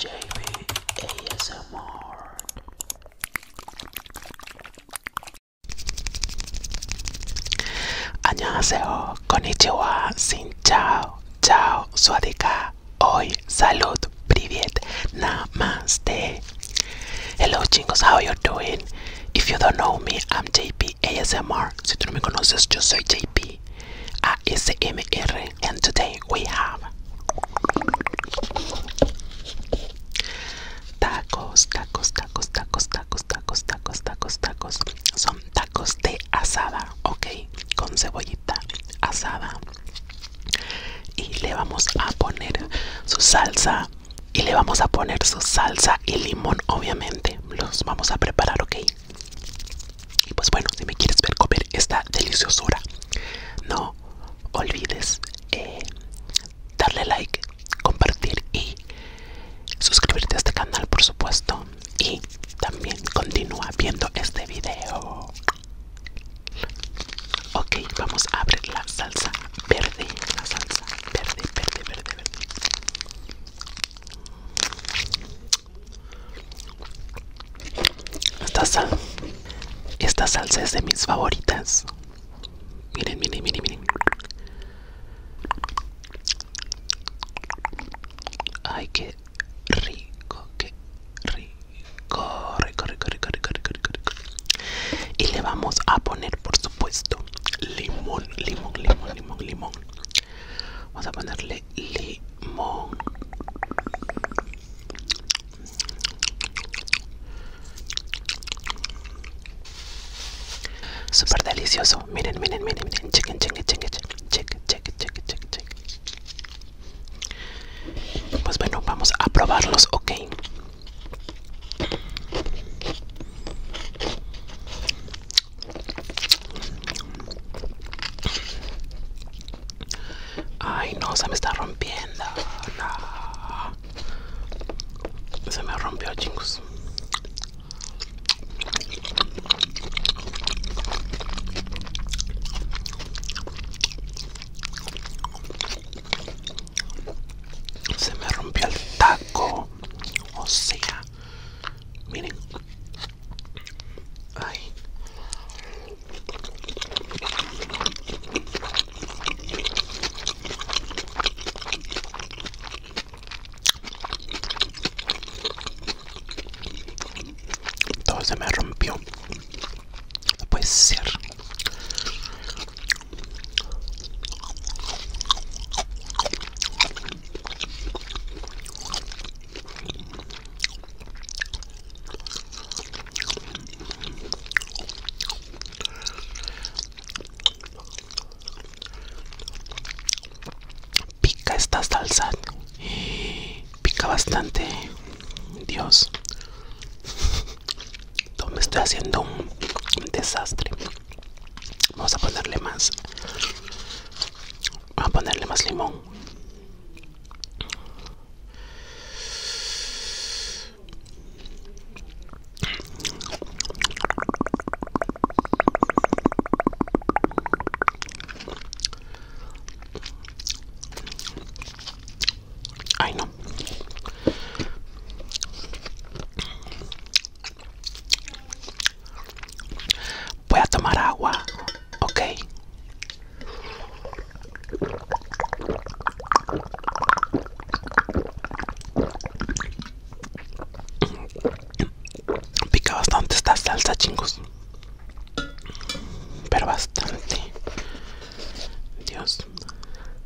JB ASMR. 안녕하세요. Konnichiwa. Sin chao. Chao. Swadika. Hoy. Salud. Privet. Namaste. Hello, chingos. How you doing? If you don't know me, I'm JP. ASMR. Si tú no me conoces, yo soy JP ASMR. And today we have tacos, tacos, tacos, tacos, tacos, tacos, tacos, tacos, tacos. Son tacos de asada, ok, con cebollita asada. Y le vamos a poner su salsa y le vamos a poner su salsa y limón obviamente los vamos a preparar ok y pues bueno si me quieres ver comer esta deliciosura no olvides eh, darle like compartir y suscribirte a este canal por supuesto y también continúa viendo este video ok vamos a abrir la salsa verde la salsa verde verde verde verde esta sal, esta salsa es de mis favoritas. Miren, miren, miren, miren. Ay, qué rico, qué rico, corre, corre, rico, rico, rico, rico. Y le vamos a poner, por supuesto, limón, limón, limón, limón, limón. Vamos a ponerle limón. Súper delicioso. Miren, miren, miren, miren. Chequen, chequen, chequen, chequen, chequen, chequen, chequen, chequen. Pues bueno, vamos a probarlos, ok. Ay, no, se me está rompiendo. Se me rompió, chingos se me rompió el taco o sea miren ay todo se me rompió no puede ser Pica esta salsa. Pica bastante. Dios me estoy haciendo un desastre. Vamos a ponerle más. Vamos a ponerle más limón. Ay, no. Voy a tomar agua, ok. Pica bastante esta salsa, chingos. Pero bastante. Dios.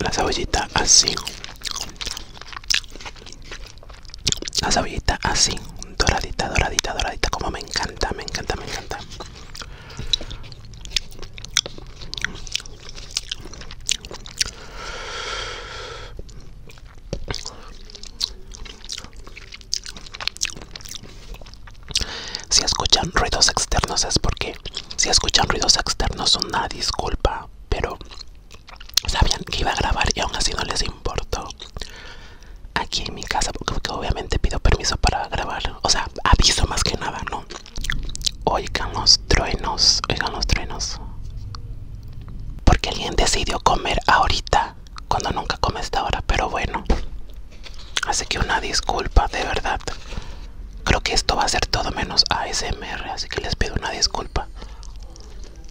La cebollita así la sabidita, así, doradita, doradita, doradita, como me encanta, me encanta, me encanta. Si escuchan ruidos externos es porque si escuchan ruidos externos una disculpa, pero sabían que iba a grabar y aún así no les importó aquí en mi casa porque, obviamente pido permiso para grabar o sea aviso más que nada no oigan los truenos oigan los truenos porque alguien decidió comer ahorita cuando nunca come esta hora pero bueno así que una disculpa de verdad creo que esto va a ser todo menos ASMR así que les pido una disculpa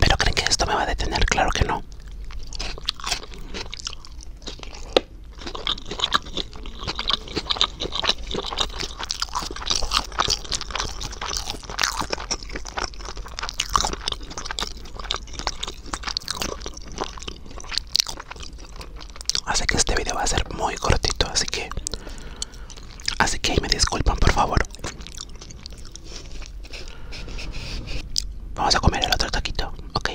Pero creen que esto me va a detener, claro que no. Así que este video va a ser muy cortito, así que Así que me disculpan, por favor. Vamos a comer el otro taquito, ok.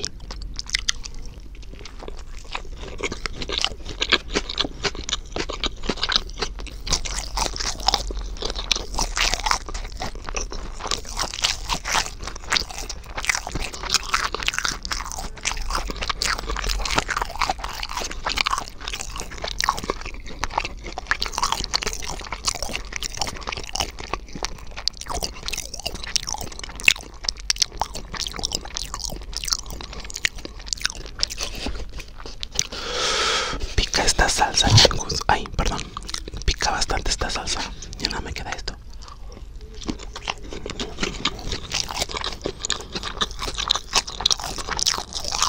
Pica esta salsa, chicos. Ay, perdón. Pica bastante esta salsa. Ya no me queda esto.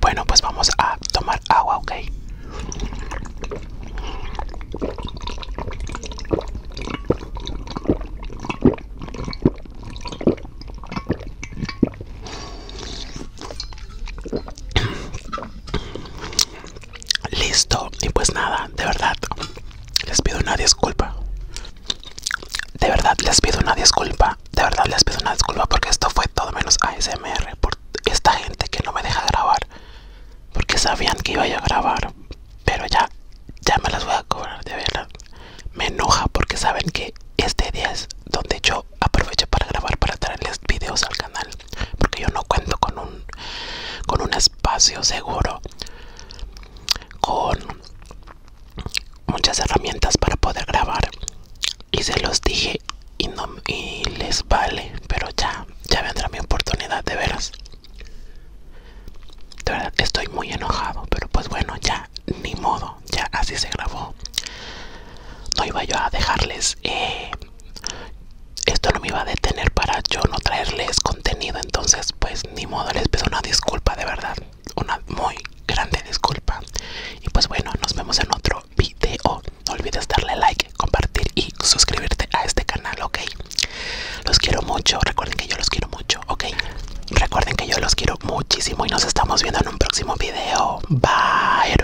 Bueno, pues vamos a tomar agua, ¿ok? Listo, y pues nada, de verdad, les pido una disculpa. De verdad, les pido una disculpa. De verdad, les pido una disculpa porque esto fue todo menos ASMR. Por esta gente que no me deja grabar. Porque sabían que iba a grabar. Pero ya, ya me las voy a cobrar, de verdad. Me enoja porque saben que este día es donde yo aprovecho para grabar, para traerles videos al canal porque yo no cuento con un con un espacio seguro con muchas herramientas para poder grabar y se los dije y no les vale pero ya ya vendrá mi oportunidad de veras de verdad estoy muy enojado pero pues bueno ya ni modo ya así se grabó no iba yo a dejarles eh, esto no me iba a detener para yo no traerles contenido. Entonces, pues ni modo, les pido una disculpa de verdad. Una muy grande disculpa. Y pues bueno, nos vemos en otro video. No olvides darle like, compartir y suscribirte a este canal, ¿ok? Los quiero mucho. Recuerden que yo los quiero mucho, ¿ok? Recuerden que yo los quiero muchísimo y nos estamos viendo en un próximo video. Bye.